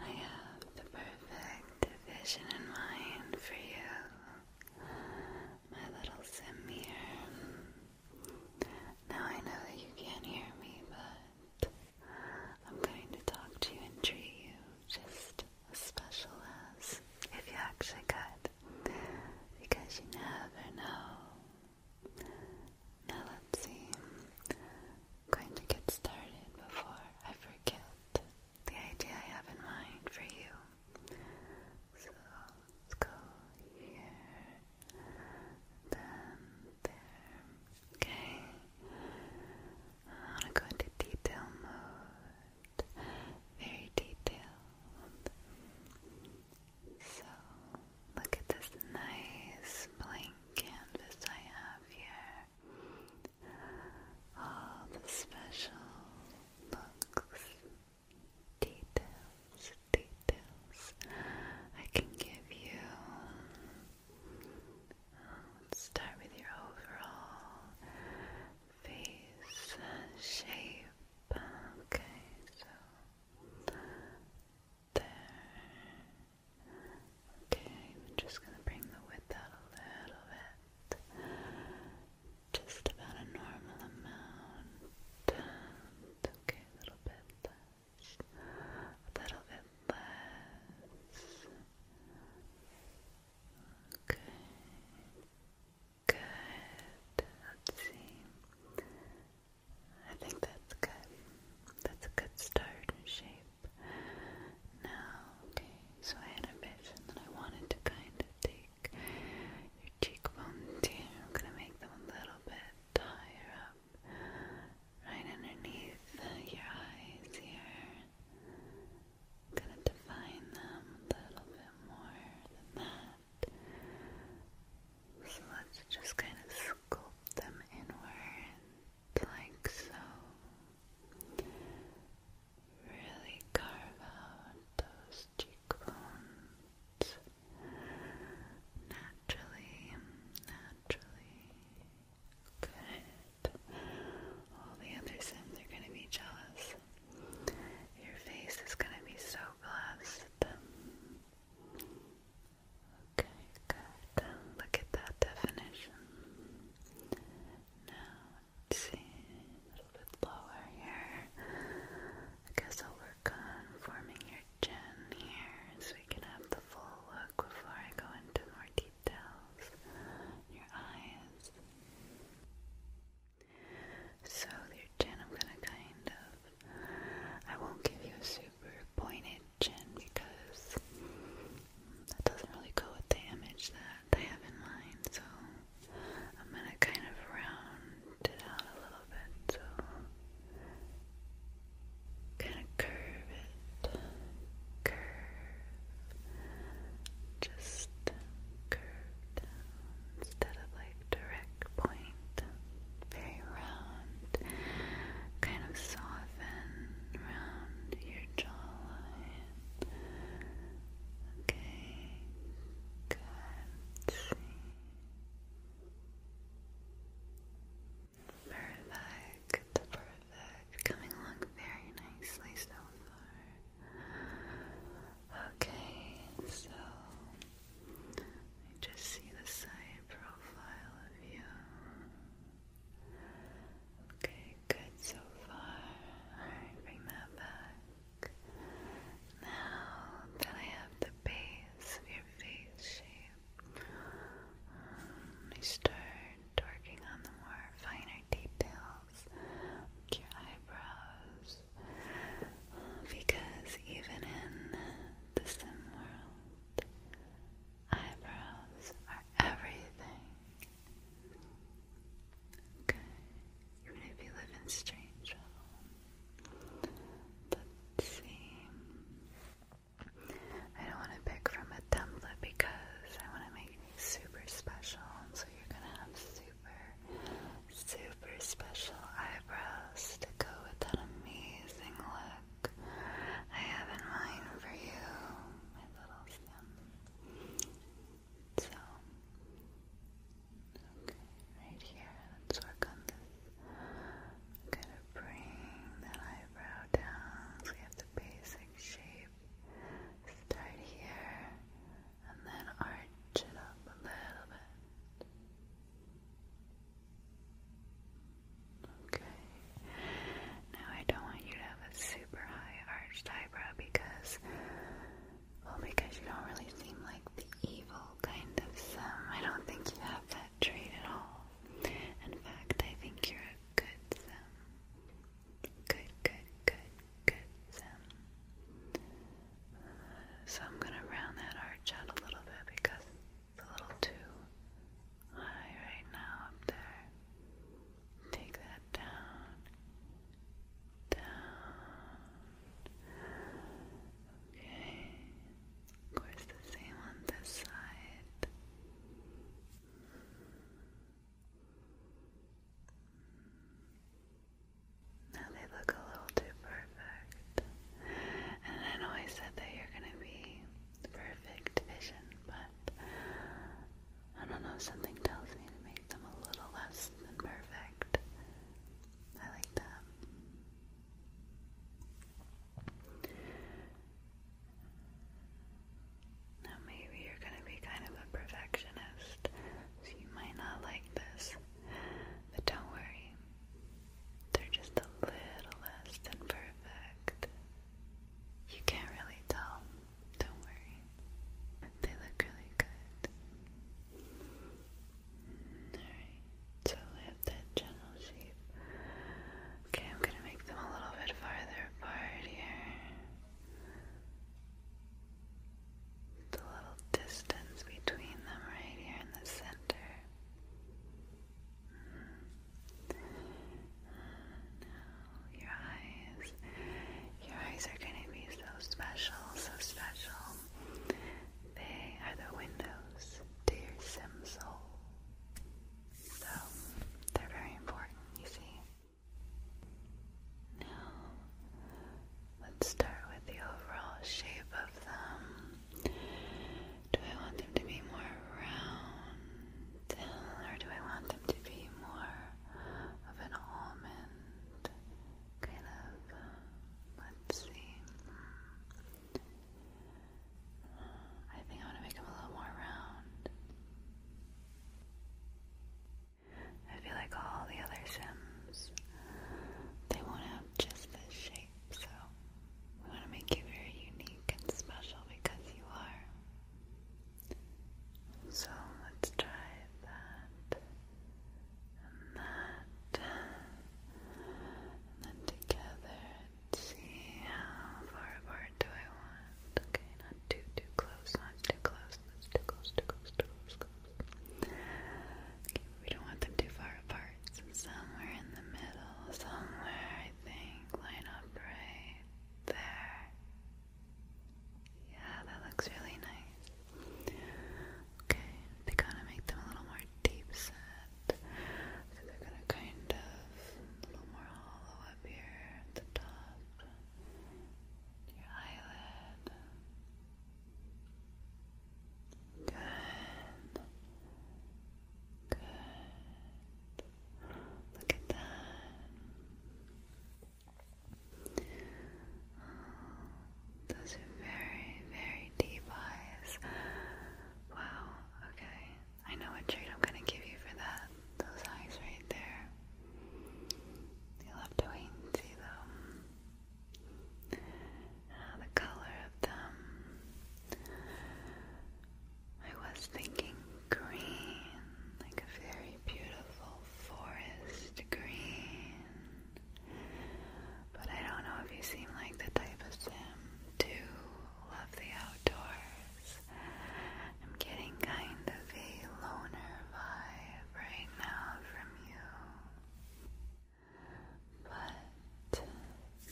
I have the perfect vision in mind for you, my little sim here. Now I know that you can't hear me, but I'm going to talk to you and treat you just as special as if you actually could, because you never know. Now let's see going to get started before I forget the idea I have in mind for you. So let's go here, then there. Okay. I want to detail mode. Very detailed. So Look at this nice blank canvas I have here. All the special looks, details, details I can give you. start with your overall face shape. Okay, so Okay, just gonna bring the width out a little bit. Just about a normal amount. okay, a little bit A little bit less. Okay. Good. Let's see. I think that's good. That's a good start in shape. Now, okay, so I had that I wanted to kind of take your cheekbones here. I'm gonna make them a little bit higher up, right underneath your eyes here. I'm gonna define them a little bit more than that. So let's just kind of sculpt them inward, like so. Really carve out those cheekbones naturally, naturally. Good. All the other Sims are going to be jealous. Your face is going to be so blessed. Okay, good. Look at that definition. Now, see, a little bit lower here. I guess I'll work on forming your chin here so we can have the full look before I go into more details. Your eyes. So, your chin, I'm gonna kind of I won't give you a super pointed chin because that doesn't really go with the image that I have in mind, so I'm gonna kind of round it out a little bit, so kind of curve it, curve, just curve instead of like direct point, very round, kind of soften around your jawline. Okay, good. Perfect, perfect. Coming along very nicely so far. Okay, so I just see the side profile of you. Okay, good so far. bring that back. Now that I have the base of your face shape, I start working on the more finer details, your eyebrows, because even in the sim world, eyebrows are everything. Okay, even if you live in strange home. Let's I don't want to pick from a template because I want to make you super special, so you're gonna have super super special eyebrows to go with that amazing look I have in mind for you, my little stem. So, right here, let's work I'm gonna bring that eyebrow down so we have the basic shape. Start here and then arch it up a little bit. Okay. Now I don't want you to have a super high arched eyebrow because, well, because you don't really seem like the evil kind of some. I don't think you have that trait at all. In fact, I think you're a good some. Good, good, good, good some. So I'm going to round that arch out a little bit because it's a little too high right now up there. Take that down, down. Okay. Of course, the same on this side. Now they look a little too perfect. And I know I said that you're gonna be perfect vision, but I don't know, something tells me to make them a little less than perfect. I like that. Now maybe you're gonna be kind of a perfectionist, so you might not like this. But don't worry, they're just a little less than perfect. You can't really tell, don't worry. They look really good. Alright, so we have that channel shape. Okay, I'm gonna make them a little bit farther apart here the little distance between them right here in the center. Now mm. your eyes, your eyes are going to be so special, so special. They are the windows to your So they're very important, you see. Now, Let's start with the overall shape of them. Do I want them to be more round, or do I want them to be more of an almond? Kind of. Um, let's see. Hmm. I think I want to make them a little more round. I feel like all the other Sims, they won't have just this shape, so we want to make you very unique and special because you are. So let's try that and that, and then together. see how far apart do I want? Okay, not too too close, not too close, we don't want them too far apart. somewhere in the middle, somewhere I think. Line up right there. Yeah, that looks really nice. Okay, they kinda make them a little more deep set. So they're gonna kind of a little more hollow up here your eyelid. Good. Good. Look at that. those very, very deep eyes. Wow, okay. I know what treat I'm gonna give you for that. Those eyes right there you love to wait and see though. Ah, the color of them. I was thinking green, like a very beautiful forest green. But I don't know if you seem like the type of sim to love the outdoors. I'm getting kind of a loner vibe right now from you, but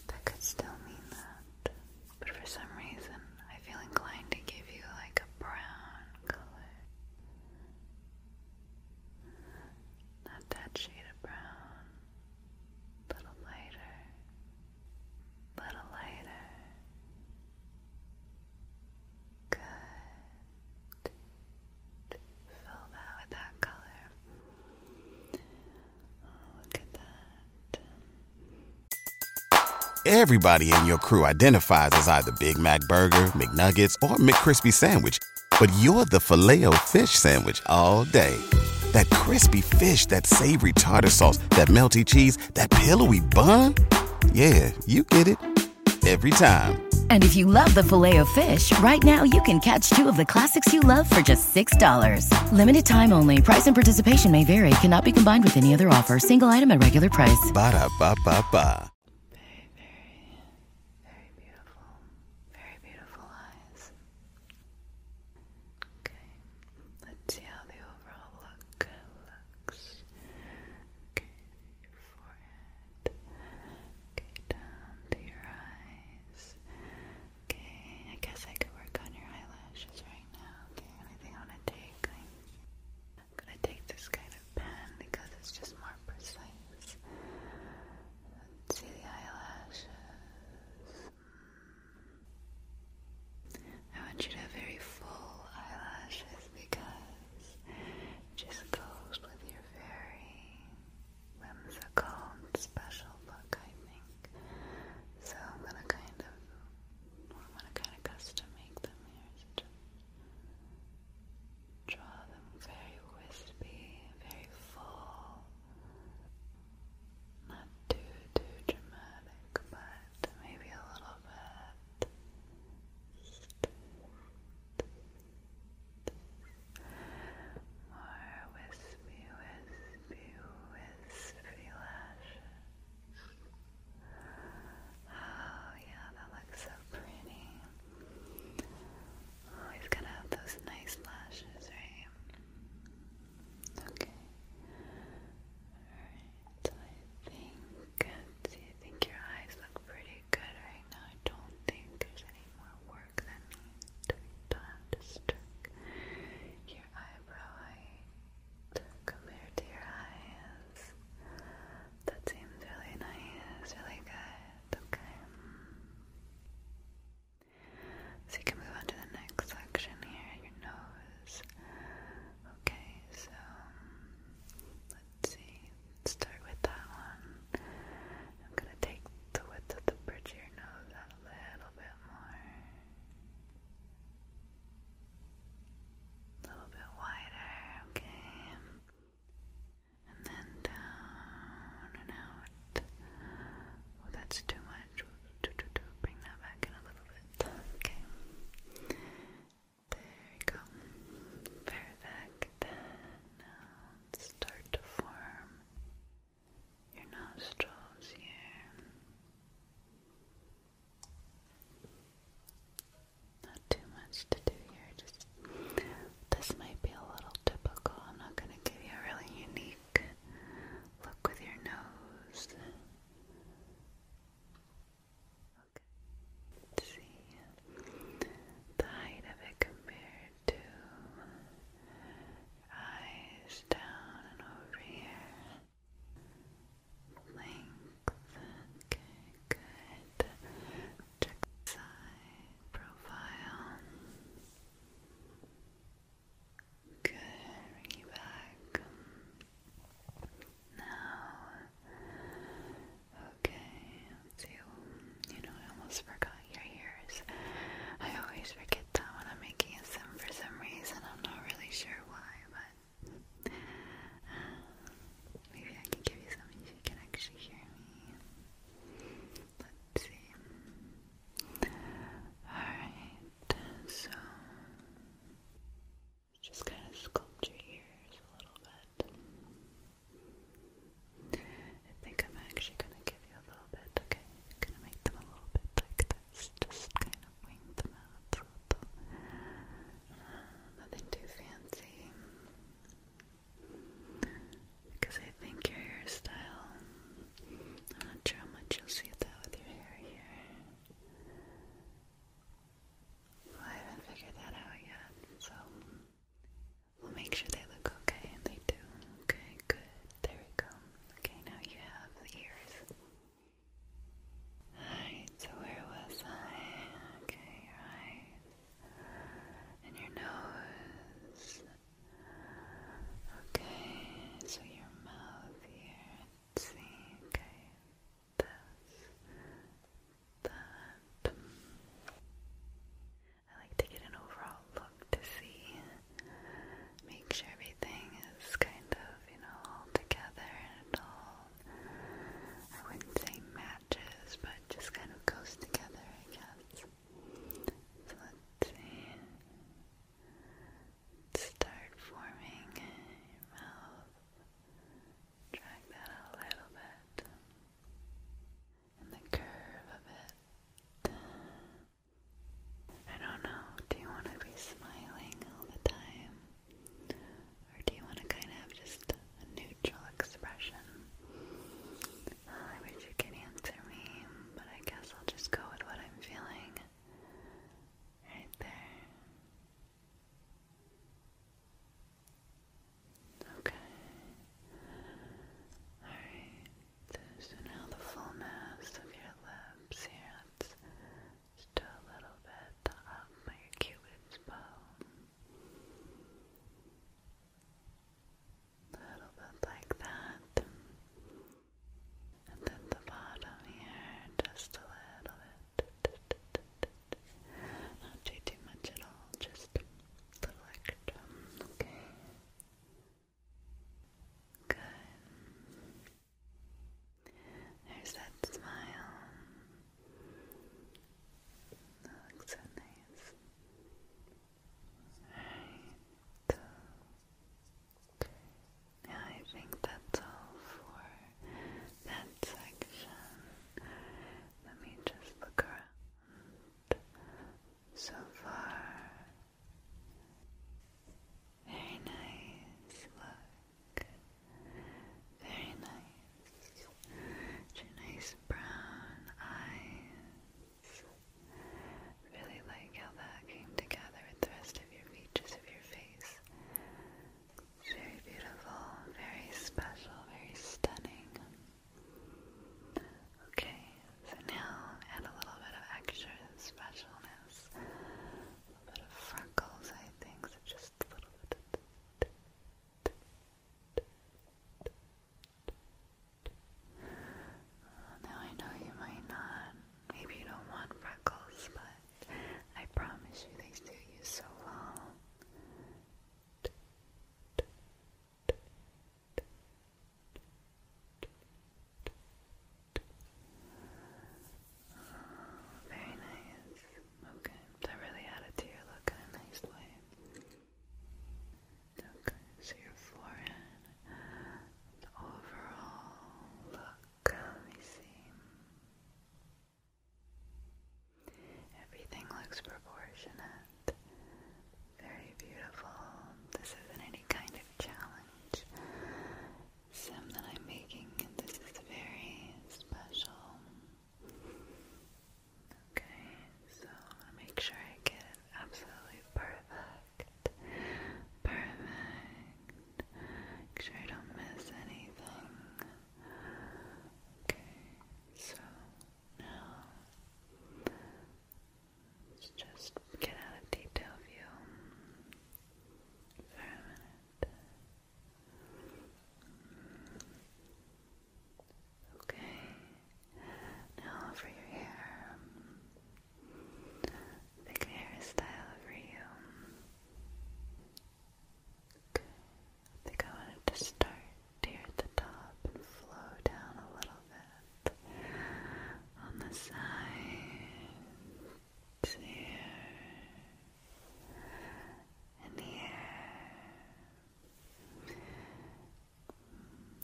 that could still mean that. But for some reason, I feel inclined to give you like a brown color. Not that shade of brown. A little lighter. A little lighter. Everybody in your crew identifies as either Big Mac Burger, McNuggets, or McCrispy Sandwich, but you're the Filet-O-Fish Sandwich all day. That crispy fish, that savory tartar sauce, that melty cheese, that pillowy bun. Yeah, you get it every time. And if you love the filet of fish, right now you can catch two of the classics you love for just $6. Limited time only. Price and participation may vary. Cannot be combined with any other offer. Single item at regular price. Ba da ba ba ba. Very, very, beautiful. Very beautiful eyes. Okay. Let's see how the overall look looks your forehead. Okay, down your eyes. Okay, I guess I could work on your eyelashes right now. Okay, anything I wanna take? I'm gonna take this kind of pen because it's just more precise. see the eyelashes. Hmm. I want you to have very full eyelashes because just goes with your very whimsical special look, I think. So I'm gonna kind of, I'm gonna kind of custom make them here. just draw them very wispy, very full. Not too, too dramatic, but maybe a little bit. More wispy, wispy, wispy lashes. Oh, yeah, that looks so pretty. Always gotta have those nice lashes, right? Okay. I think, do you think your eyes look pretty good right now? I don't think there's any more work that needs to be done. Just check your eyebrow height compared to eyes. That seems really nice, really good. Okay. So you can move on to the next section here, your nose. Okay, so let's see. start with that one. I'm gonna take the width of the bridge of your nose out a little bit more. A little bit wider, okay. And then down and out. Oh, that's too much bring that back in a little bit. Okay. There you go. Perfect. Then uh, start to form your nostrils here. Not too much to do here. Just this might be a little typical. I'm not going to give you a really unique look with your nose. Okay. let see the height of it compared to eyes down and over here. Length. good. Check side profile. Good, bring you back. Now, okay, let You know, I almost forgot your ears. I always forget that when I'm making a sim for some reason. I'm not really sure why, but maybe I can give you something if you can actually hear me. Let's see. Alright, so just kind of sculpt your ears a little bit. I think I'm actually gonna give you a little bit, okay? gonna make them a little bit like this, just kind of wing them out a little. Nothing too fancy. Because I think your hairstyle, I'm not sure how much you'll see that with your hair here. I haven't figured that out yet, so we'll make sure they look okay, and they do. Okay, good. There we go. Okay, now you have the ears. Alright, so where was I? Okay, your eyes. And your nose. Okay, so your mouth here see, this, that. I like to get an overall look to see, make sure everything is kind of, you know, all together and all, I wouldn't say matches, but just kind of goes together, I guess. So let's see. Start forming mouth. Drag that a little bit. And the curve of it. I don't know, do you want to be smiling all the time? Or do you want to kind of have just a neutral expression? I wish you could answer me, but I guess I'll just go with what I'm feeling. Right there. Okay. Alright. So now the fullness of your lips here. just a little bit up by your cupid's bow. little bit like that and at the bottom here, just a little bit. Not too much at all, just a little extra. Okay. Good. There's that smile. That looks so nice. Alright. Good. I think that's all for that section. Let me just look around. So far, very nice look. Very nice. nice brown eyes. Really like how that came together with the rest of your features of your face. very beautiful, very special, very stunning. Okay, so now add a little bit of extra specialness. A little bit of freckles, I think, just a little bit now I know you might not, maybe you don't want freckles, but I promise you they suit you so well. very nice. Okay, that really added to your look in a nice way so your forehead, the overall look, let me see. Everything looks proportionate, very beautiful. This isn't any kind of challenge. Sim that I'm making, this is very special. Okay, so make sure I get absolutely perfect. Perfect. Make sure I don't miss anything. Okay, so now let's just get out of detail view for a minute. Okay, now for your hair. Pick a hairstyle for you. I think I wanted to start here at the top and flow down a little bit on the sides here and here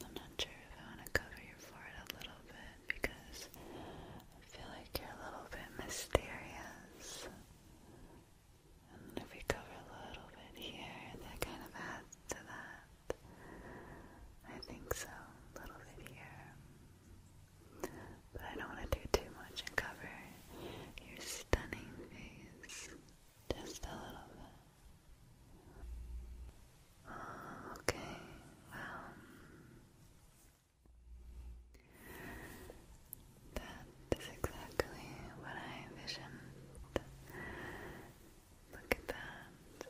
I'm not sure if I want to cover your forehead a little bit because I feel like you're a little bit mysterious. And if we cover a little bit here, that kind of adds to that. I think so, a little bit here. But I don't want to do too much and cover your stunning face just a little bit. Oh, okay, well, that is exactly what I envisioned. Look at that.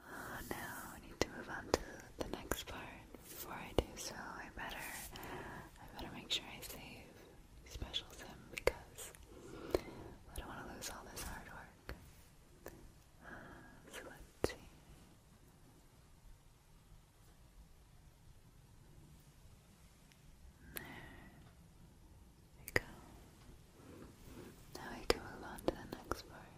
Oh, now I need to move on to the next part. Before I do so, I better, I better make sure I save Specials him because I don't want to lose all this hard work. so let's see. There we go. Now we can move on to the next part.